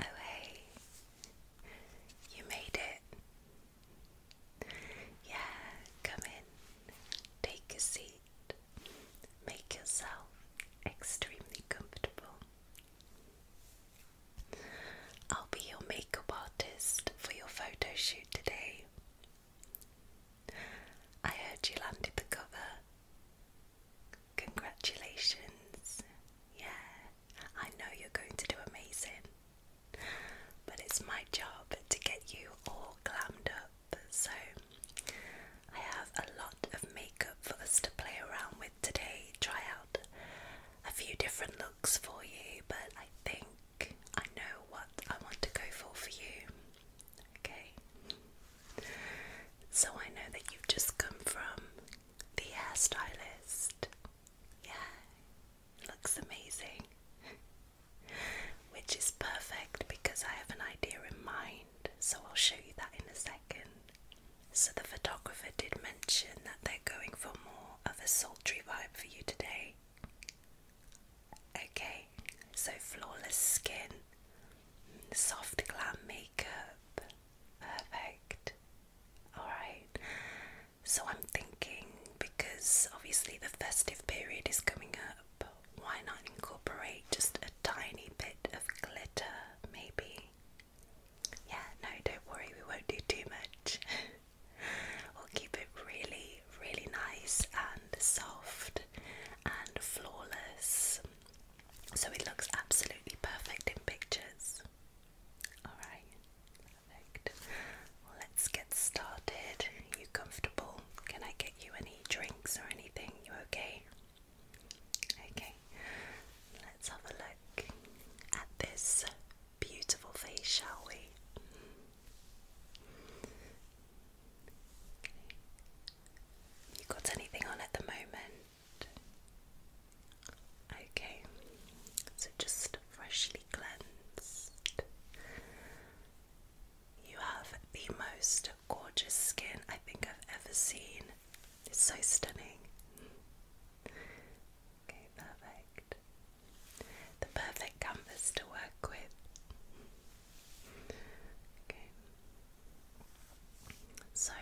Oh, hey, you made it. Yeah, come in, take a seat, make yourself extremely comfortable. I'll be your makeup artist for your photo shoot today. I heard you landed the cover. Congratulations. Yeah, I know you're going to do amazing. But it's my job to get you all glammed up. So I have a lot of makeup for us to play around with today. Try out a few different looks for you, but I think I know what I want to go for for you. Okay. So I know that you've just come from the hairstylist. Yeah, looks amazing. Which is perfect because I have an idea in mind, so I'll show you that in a second. So, the photographer did mention that they're going for more of a sultry vibe for you today. Okay, so flawless skin, soft, glam Perfect. Alright. So I'm thinking because obviously the festive period is coming up, why not incorporate just a tiny bit of glitter maybe? Yeah, no, don't worry, we won't do too much. we'll keep it really, really nice and soft and flawless so it looks absolutely perfect in pictures. Alright, perfect. let's get started. you comfortable? Can I get you any drinks or anything? You okay? Okay, let's have a look at this beautiful face, shall we? You got anything on at the moment? Okay, so just freshly cleansed. You have the most gorgeous skin I think I've ever seen. It's so stunning. Okay, perfect. The perfect canvas to work with. Okay. So,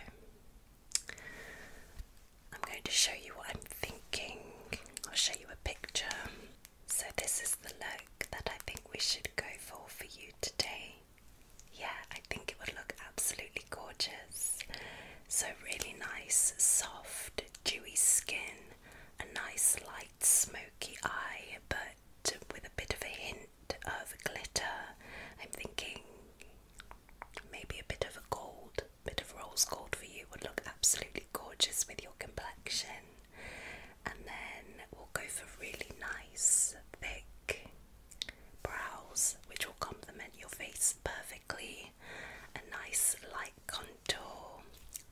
I'm going to show you what I'm thinking. I'll show you a picture. So, this is the look that I think we should go for for you today. Yeah, I think it would look absolutely gorgeous. So, really nice, soft, dewy skin, a nice, light, smoky eye, but with a bit of a hint of glitter. I'm thinking maybe a bit of a gold, bit of rose gold for you would look absolutely gorgeous with your complexion. And then we'll go for really nice, thick brows, which will complement your face perfectly. A nice light contour,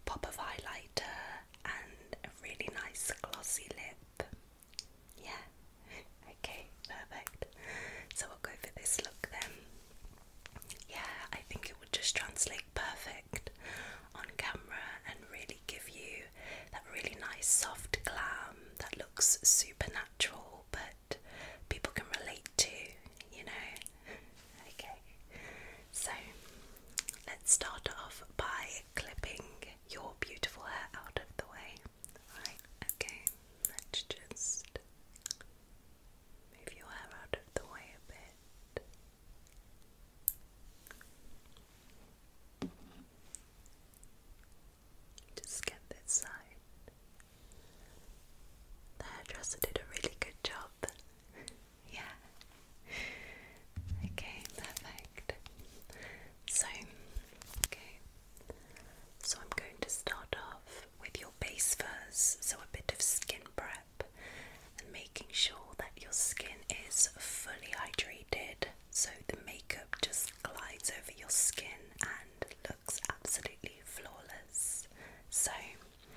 pop of highlighter, and a really nice glossy lip. Yeah. Okay, perfect. So we'll go for this look then. Yeah, I think it would just translate perfect on camera and really give you that really nice soft glam that looks supernatural but people can relate to, you know. Okay, so let's start off by clipping your beautiful hair out of the way. Right, okay, let's just move your hair out of the way a bit. Just get this side. The hairdresser did a really good job. yeah. Okay, perfect. So, okay, so I'm going to start off with your base first. so a bit of skin prep and making sure that your skin is fully hydrated so the makeup just glides over your skin and looks absolutely flawless. So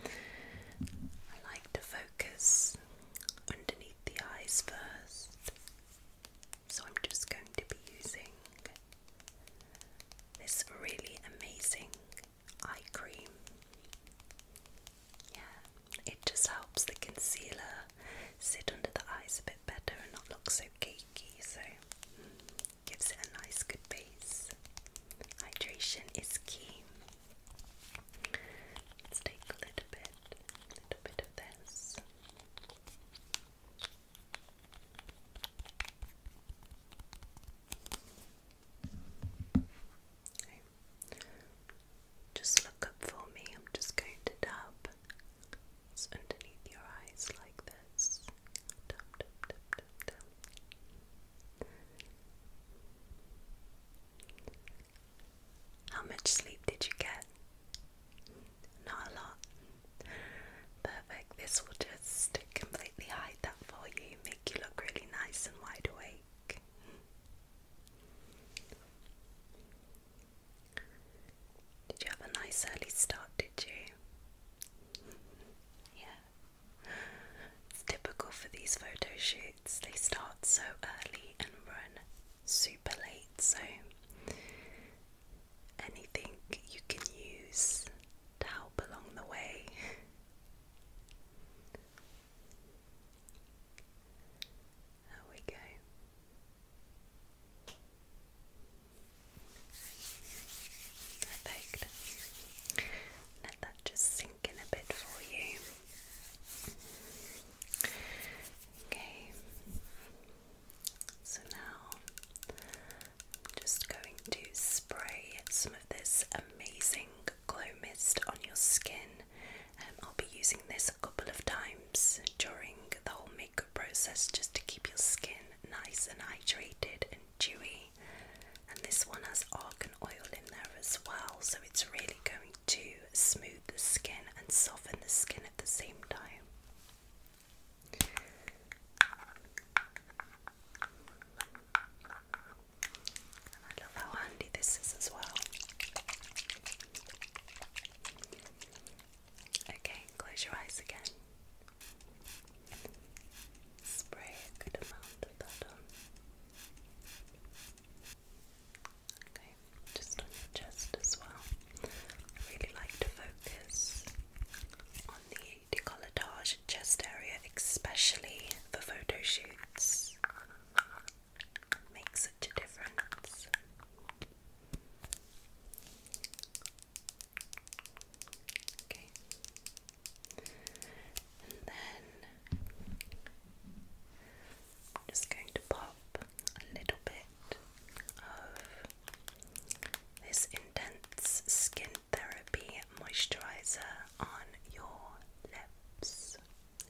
I like to focus underneath the eyes first. So I'm just going to be using this really amazing eye cream. Yeah, it just helps the concealer sit under the eyes a bit better and not look so cakey, so mm, gives it a nice good base. Hydration is key. Let's take a little bit, little bit of this. Just look up for me. I'm just going to tap underneath your eyes like this. How much sleep did you get? Not a lot. Perfect. This will just completely hide that for you, make you look really nice and wide awake. Did you have a nice early start, did you? Yeah. It's typical for these photo shoots, they start so early and run super late, so anything you can use to help along the way. There we go. Perfect. Let that just sink in a bit for you. Okay. So now I'm just going to spray some of this amazing glow mist on your skin. Um, I'll be using this a couple of times during the whole makeup process just to keep your skin nice and hydrated and dewy. And this one has argan oil in there as well, so it's really going to smooth the skin and soften the skin at the same time. I love how handy this is as well. Okay, close your eyes again. Spray a good amount of that on. Okay, just on your chest as well. I really like to focus on the decolletage chest area, especially for photo shoots. makes such a difference. Okay. And then I'm just going to pop a little bit of this intense skin therapy moisturizer on your lips.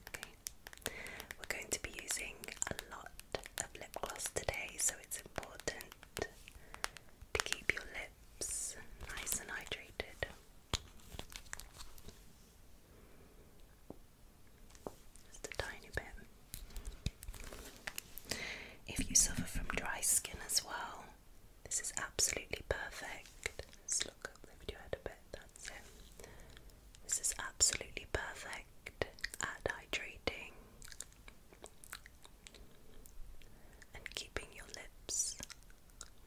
Okay, we're going to be using a lot of lip gloss today, so it's important to keep your lips nice and hydrated. Just a tiny bit. If you suffer from dry skin as well, this is absolutely perfect. Let's look bit, that's it. This is absolutely perfect at hydrating and keeping your lips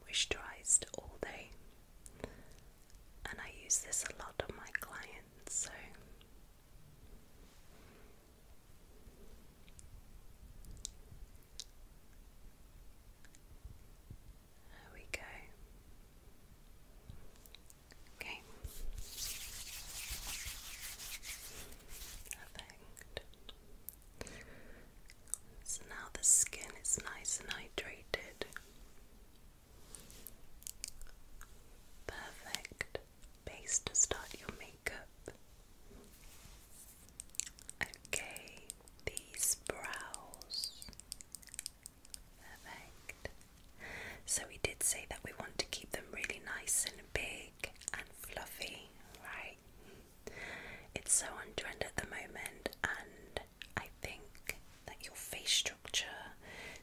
moisturized all day. And I use this a lot on my clients it, so there we go. Okay. Perfect. So now the skin is nice and hydrated. Perfect base to start your makeup. Okay, these brows. Perfect. So, we did say that we want to keep them really nice and big and fluffy, right? It's so on trend at the moment, and I think that your face structure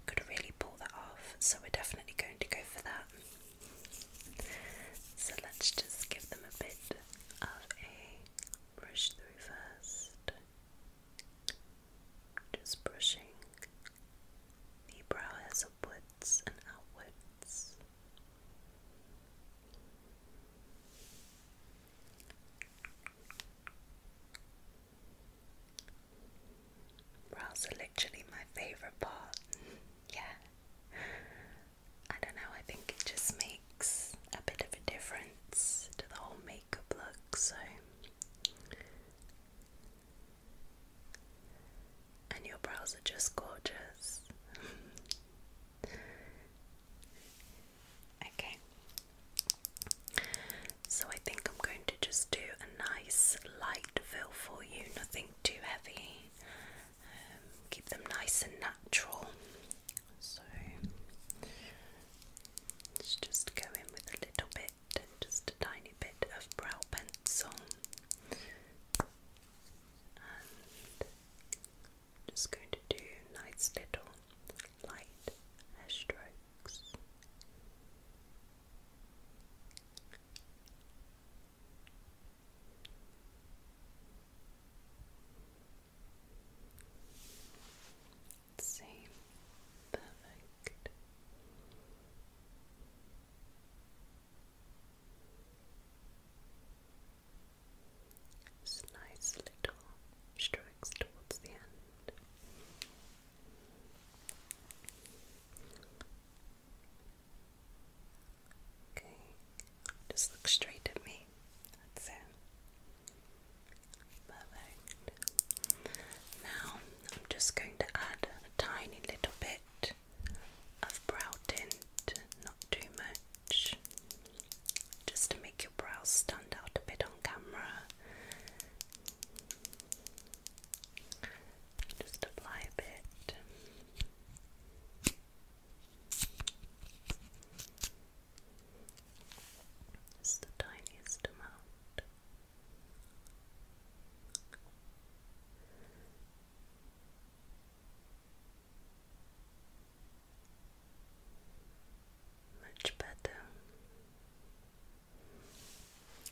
could really pull that off. So we're definitely going to go for that. So let's just give them a bit of a brush through first. Just brushing the brow upwards and outwards. Brows are literally my favourite part. yeah. I don't know, I think it just makes a bit of a difference to the whole makeup look, so. And your brows are just gorgeous. okay, so I think I'm going to just do a nice light fill for you, nothing too heavy. Um, keep them nice and natural. So let's just go in with a little bit, just a tiny bit of brow pencil. And just going to do nice little light as strokes. Same, perfect. Just nice little strokes towards the end just look straight at me. Now I'm just going to add a tiny little bit of brow tint, not too much, just to make your brows stand out a bit on camera. Just apply a bit. It's the tiniest amount. Much better.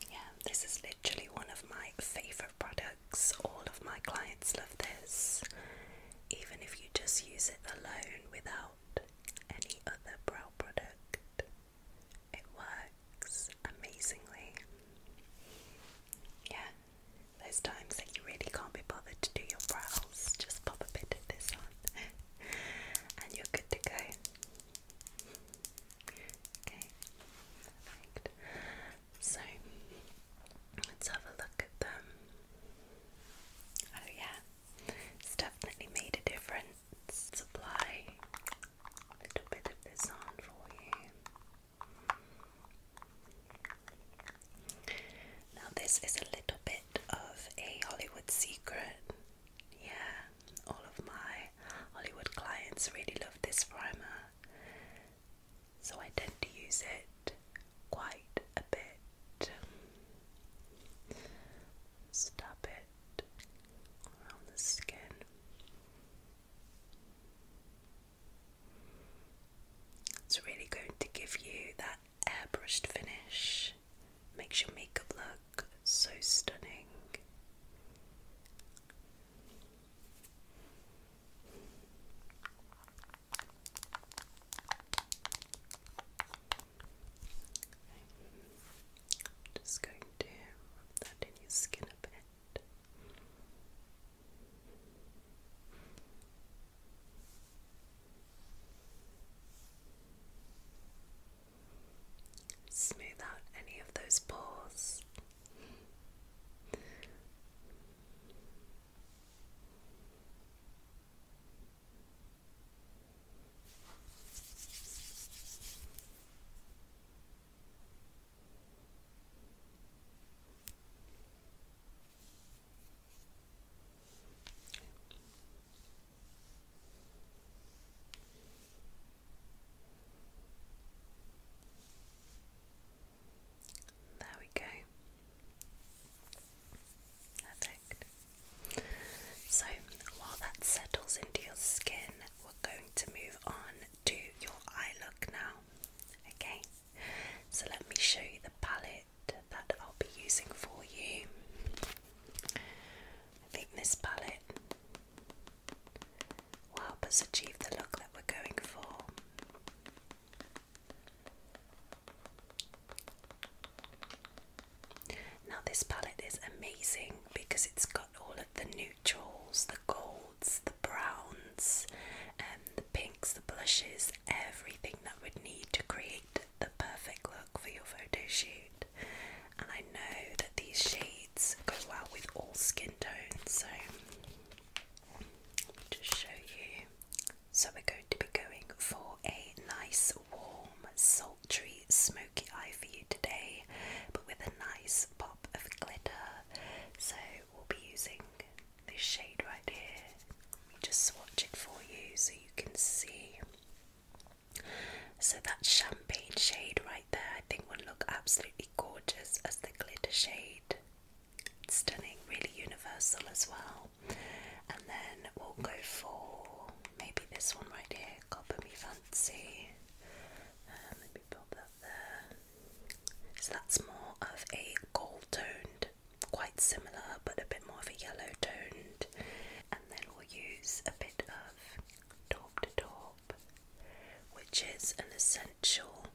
Yeah, this is literally one of my favorite products. All of my clients love this, even if you just use it alone without any other brow product. It works amazingly. Yeah, those times that you really can't be bothered to do your brows, just pop a bit of this on and you're good to go okay, perfect. So let's have a look at them. Oh, yeah, it's definitely made a difference. apply a little bit of this on for you. Now, this is a little bit of a Hollywood secret. Yeah, all of my Hollywood clients really love this primer, so I tend to use it quite a bit. Stop it around the skin. It's really going to give you that airbrushed finish makes your makeup look so stunning. just going to rub that in your skin a bit. Smooth out any of those pores. There we go. Perfect. So while that settles into your skin, we're going to move on to your eye look now. Okay, so let me show you the palette that I'll be using for you. I think this palette will help us achieve the look that we're going for. Now, this palette is amazing because it's got all of the neutrals, the golds, the browns, and um, the pinks, the blushes, everything that we'd need to create the perfect look for your photo shoot and I know that these shades go well with all skin tones. So, just show you. So, we're going to be going for a nice, warm, sultry, smoky eye for you today, but with a nice pop of glitter. So, we'll be using this shade right here. just swatch it for you so you can see. So that champagne shade right there, I think would look absolutely gorgeous as the glitter shade. stunning, really universal as well. And then we'll go for maybe this one right here, Copper Me Fancy. Um, let me pop that there. So that's more of a gold toned, quite similar, but a bit more of a yellow toned then we'll use a bit of top to top, which is an essential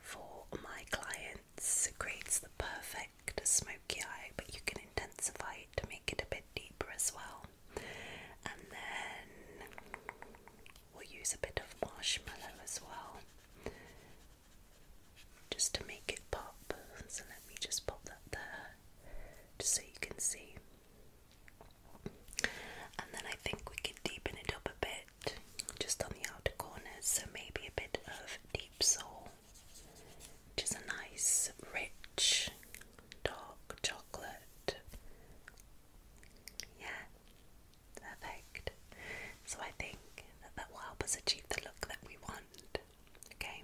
for my clients. It creates the perfect smoky eye, but you can intensify it to make it a bit deeper as well. And then we'll use a bit of marshmallow as well. Just to make it pop, so let me just pop that there just so you can see. And then I think we could deepen it up a bit just on the outer corners, so maybe a bit of deep soul, which is a nice, rich, dark chocolate. Yeah, perfect. So I think that that will help us achieve the look that we want. Okay,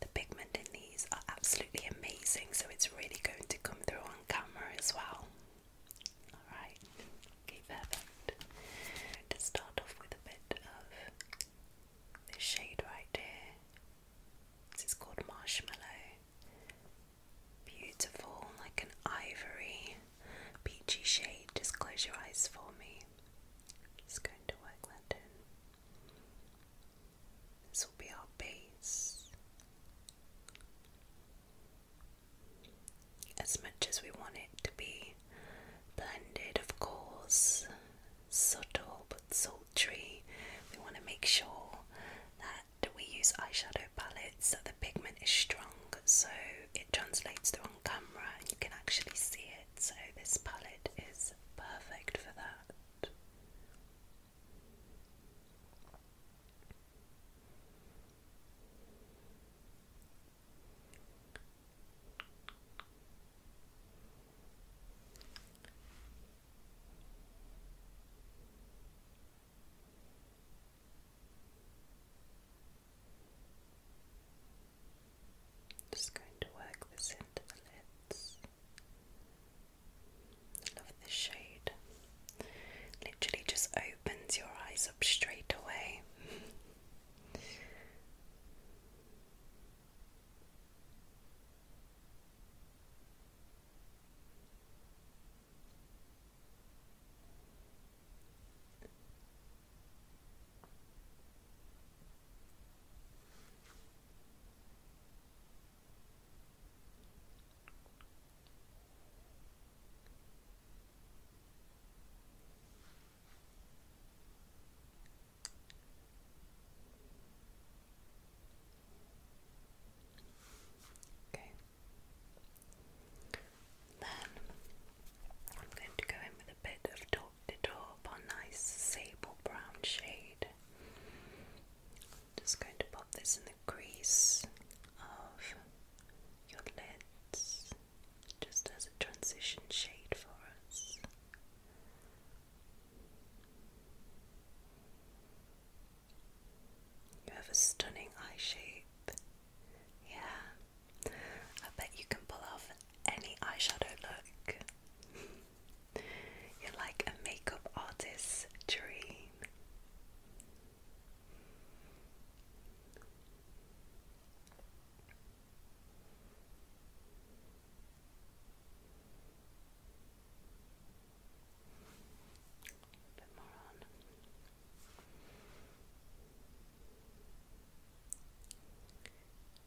the pigment in these are absolutely amazing, so it's really going to come through on camera as well. Alright, okay, perfect. To start off with a bit of this shade right here. This is called Marshmallow. Beautiful, like an ivory, peachy shade. Just close your eyes for me. Just going to work that this will be our base. As much as we want it to be blended, of course, subtle but sultry, we want to make sure that we use eyeshadow palettes that the pigment is strong so it translates through on camera and you can actually see it. So, this palette is perfect for that. Just going to work this into the lids. I love this shade. Literally just opens your eyes up straight away. Okay. Then I'm going to go in with bit of top-to-top or nice sable brown shade. Just going to pop this in the crease of your lids, just as a transition shade for us. You have a stunning eye shape. Yeah. I bet you can pull off any eyeshadow look. You're like a makeup artist's dream.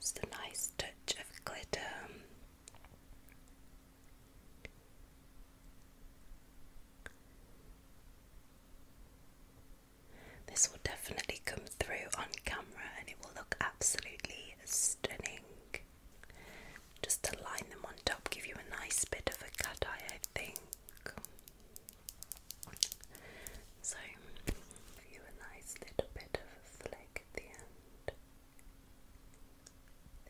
Just a nice touch of glitter. This will definitely come through on camera and it will look absolutely stunning. Just to line them on top, give you a nice bit of a cut eye, I think. So, give you a nice little bit of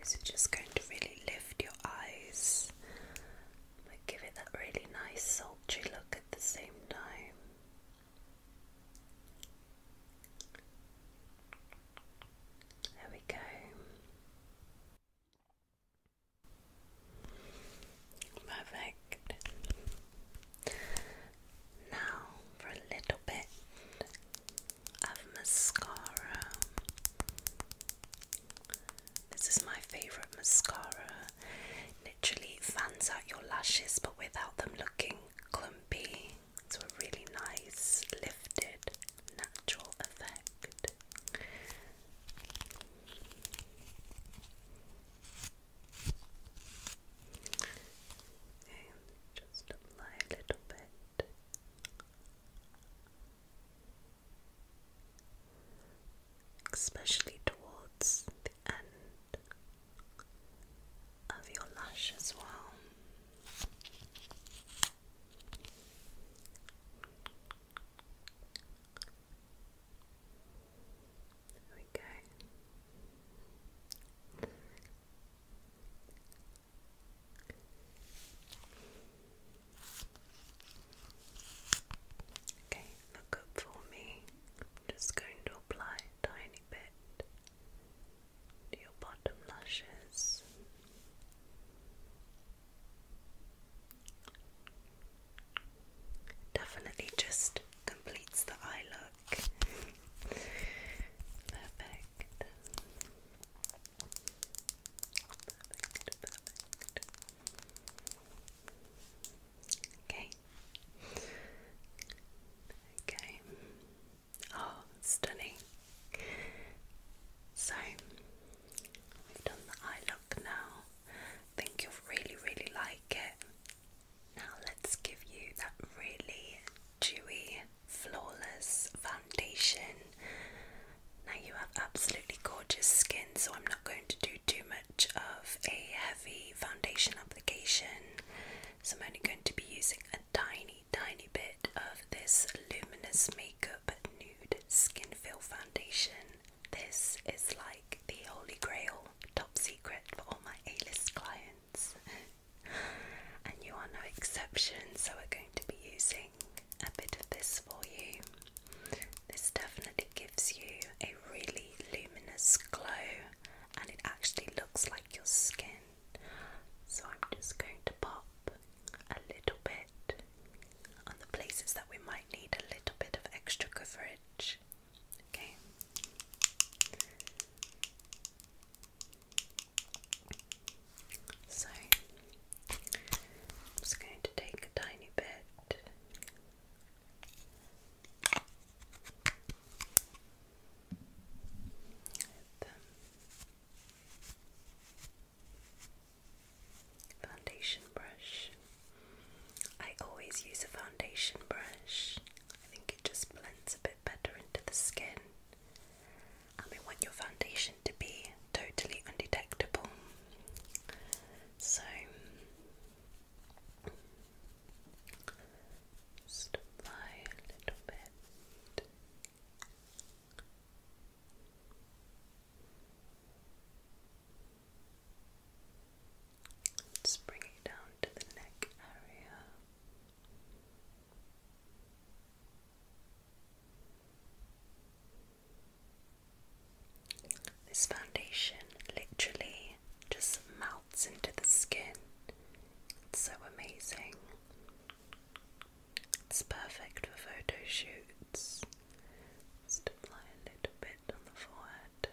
this is just going to really lift your eyes, but give it that really nice sultry look at the same time. There we go. Perfect. Now for a little bit of mascara. This is my favourite mascara. Literally fans out your lashes but without them looking clumpy. It's a really nice, lifted, natural effect just apply a little bit. Especially towards the end of your lash as well. There we go. Okay, look up for me. just going to apply a tiny bit to your bottom lashes. Definitely just completes the eye look look. Perfect. Okay. Okay. Oh, stunning. So, we've done the eye look now. I think you'll really, really like it. Now let's give you that really dewy, flawless foundation. Now you have absolutely gorgeous skin, so I'm not going to do too much of a heavy foundation application. So I'm only going to be using a tiny, tiny bit of this Luminous Makeup Nude Skin Fill Foundation. This is like the holy grail secret for all my A-list clients. and you are no exception, so we're going to be using a bit of this for you. This definitely gives you a really luminous glow and it actually looks like your skin. So I'm just going to pop a little bit on the places that we might need a little bit of extra coverage. Okay. So I'm just going to take a tiny bit. The foundation brush I always use a foundation brush. I think it just blends a bit better into the skin. And we want your foundation to be totally undetectable. So just apply a little bit. Let's bring it down to the neck area. This foundation literally just melts into the skin. It's so amazing. It's perfect for photo shoots. apply a little bit on the forehead.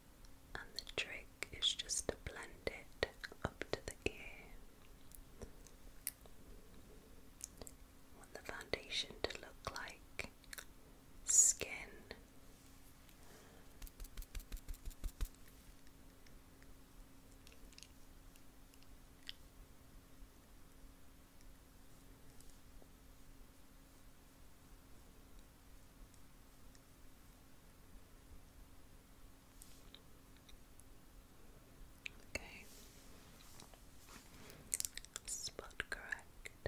and the trick is just to blend it up to the ear. want the foundation to look like skin. Okay. Spot correct.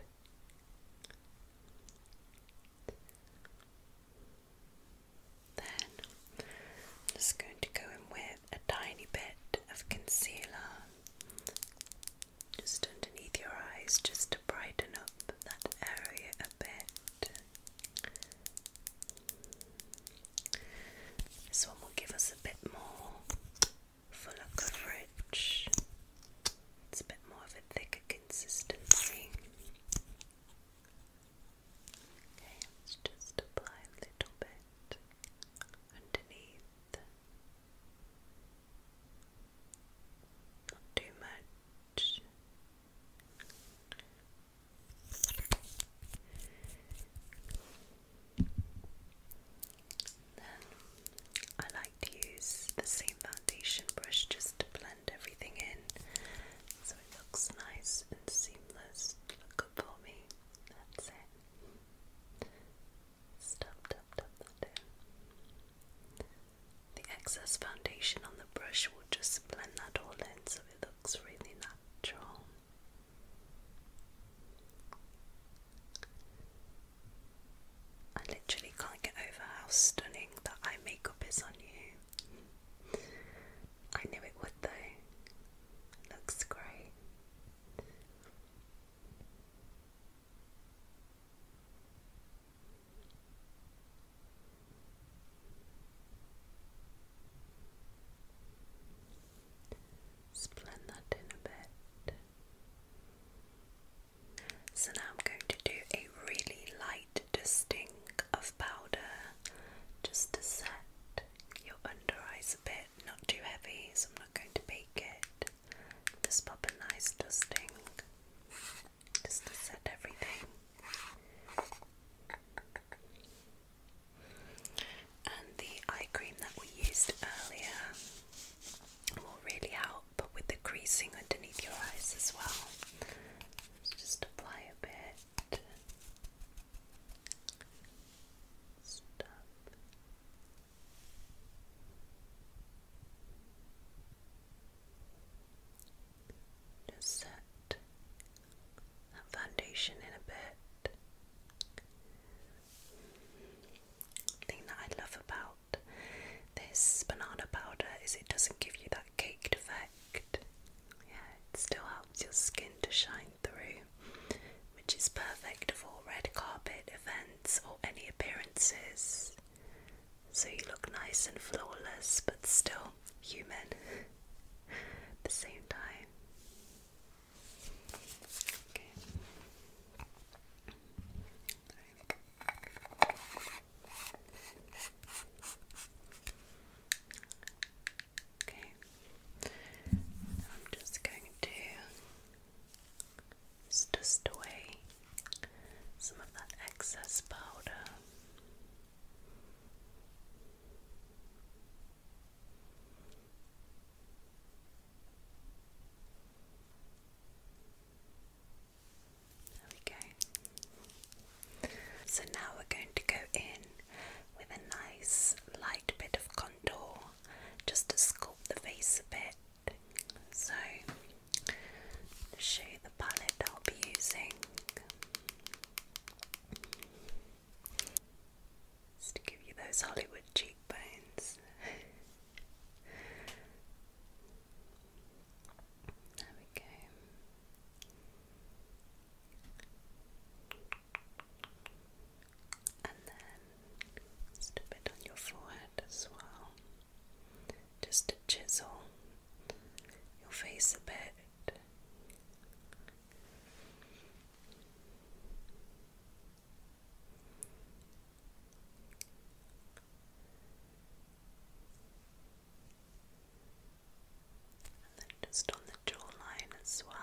Then just going to go in with a tiny bit of concealer just underneath your eyes just to brighten up that area a bit. This one will give us a bit more fuller coverage. It's a bit more of a thicker consistency. Okay, let's just apply a little bit underneath. Not too much. Then I like to use the same foundation brush just to blend everything in so it looks nice and seamless. Look good for me. That's it. Stop, tap, tap the excess foundation on the brush will just blend that all in so it looks really natural. I literally can't get over how stunning that eye makeup is on you. I knew it would though. looks great. Split that in a bit. So now I'm going to do a really light dusting of powder just to set your under eyes a bit, not too heavy, so I'm not going to bake it. Just pop a nice dusting just to set everything. And the eye cream that we used earlier will really help with the creasing underneath your eyes as well. just apply a bit. Stop. Just set that foundation in a bit. thing that I love about this banana powder is it doesn't give you that caked effect. Yeah, it still helps your skin to shine through, which is perfect for red carpet events or any appearances so you look nice and flawless but still human at the same time. Okay. I'm just going to dust away some of that excess powder. There we go. So now we're going to go in with a nice light bit of contour just to sculpt the face a bit. So, to show you the palette I'll be using, just to give you those Hollywood cheekbones. there we go. And then just a bit on your forehead as well just to chisel your face a bit. And then just on the jawline as well.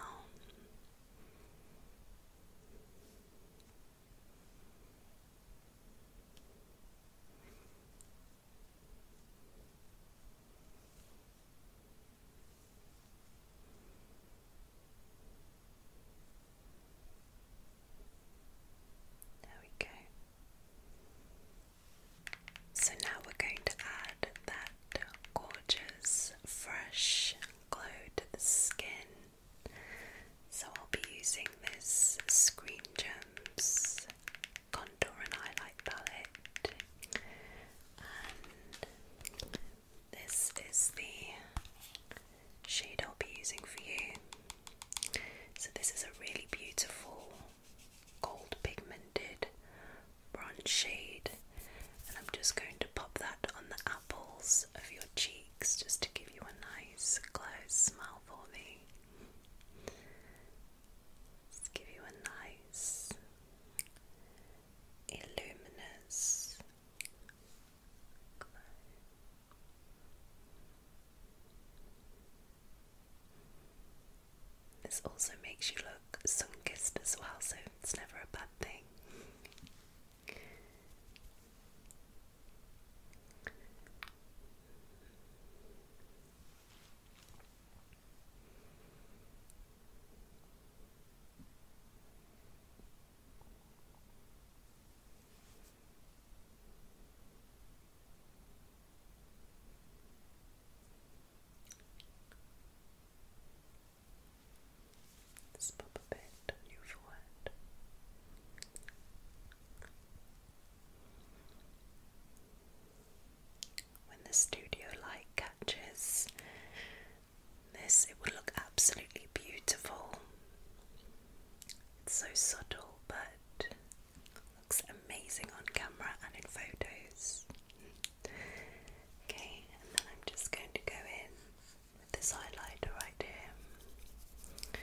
There we go. So now we're going to add that gorgeous fresh glow to the skin so I'll be using this Screen Gems Condor and highlight palette, and this is the shade I'll be using for you. So this is a really beautiful gold pigmented bronze shade, and I'm just going to pop that on the apples of your cheeks just to give you a nice close smell. Let's give you a nice, illuminous This also makes you look sun kissed as well, so it's never a bad thing. Just pop a bit on your forehead. When the studio light catches this, it would look absolutely beautiful. It's so subtle, but looks amazing on camera and in photos. Okay, and then I'm just going to go in with this highlighter right here.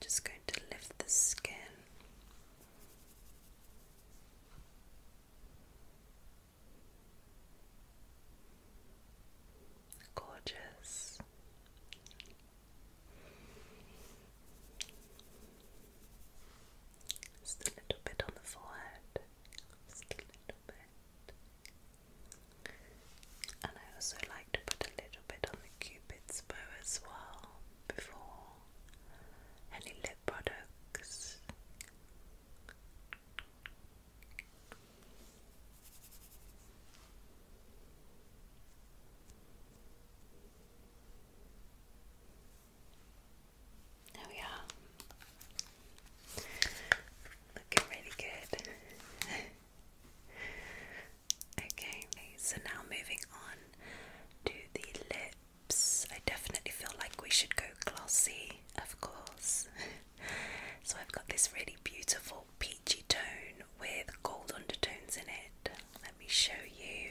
Just going to lift the skin. Gorgeous. Just a little bit on the forehead. Just a little bit. And I also like to put a little bit on the cupid's bow as well before any lip products. There oh, we Looking really good. okay, so now moving on to the lips. I definitely feel like we should go glossy, of course. so I've got this really beautiful peachy tone with gold undertones in it. Let me show you.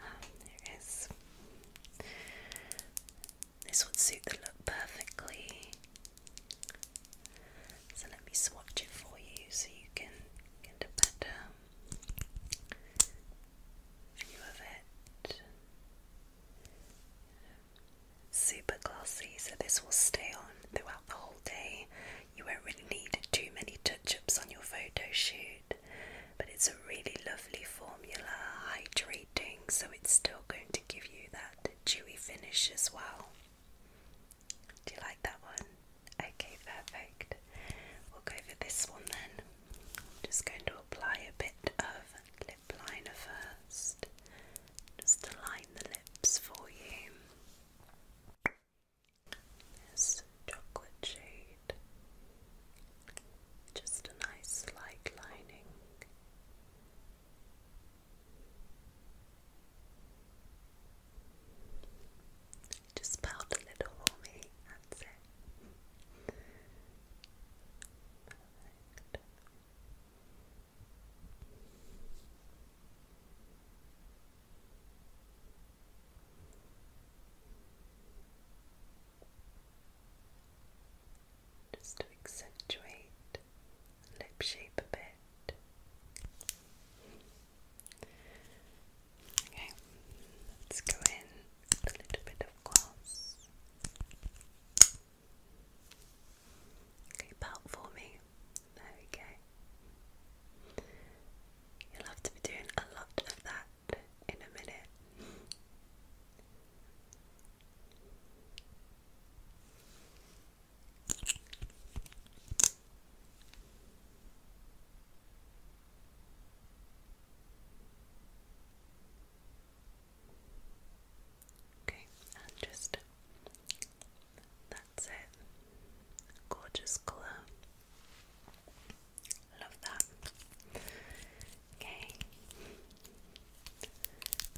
Ah, there it is. This would suit the look perfectly. So let me swatch it for you so you can get a better view of it. Super glossy, so this will stay on throughout the whole day. You won't really need too many touch ups on your photo shoot but it's a really lovely formula, hydrating, so it's still going to give you that dewy finish as well. Do you like that one? Okay, perfect. We'll go for this one then. just going to apply a bit of lip liner first, just to line the lips for you. This chocolate shade just a nice light lining. Just pout a little for me, that's it. Just to accentuate lip shape a bit. Okay, let's go in a little bit of gloss. Okay, pout for me. There we go. You'll have to be doing a lot of that in a minute. Okay, and just that's it. Gorgeous colour. Love that. Okay.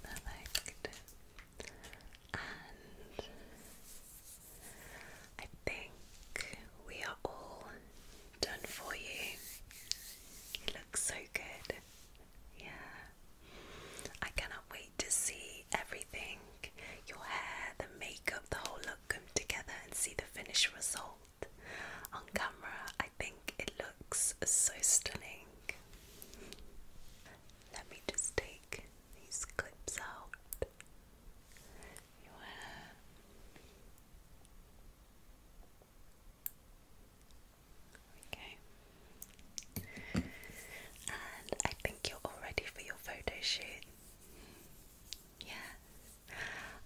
Perfect. And I think we are all done for you. You look so good. Yeah. I cannot wait to see everything your hair, the makeup, the whole look come together and see the finished result. On camera, I think it looks so stunning. Let me just take these clips out. Okay. And I think you're all ready for your photo shoot. Yes,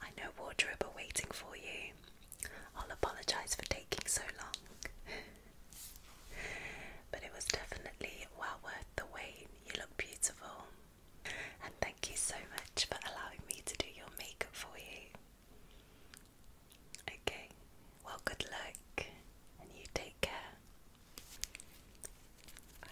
I know wardrobe are waiting for you. I'll apologise for taking so long. but it was definitely well worth the wait. You look beautiful. And thank you so much for allowing me to do your makeup for you. Okay, well, good luck, and you take care. Bye.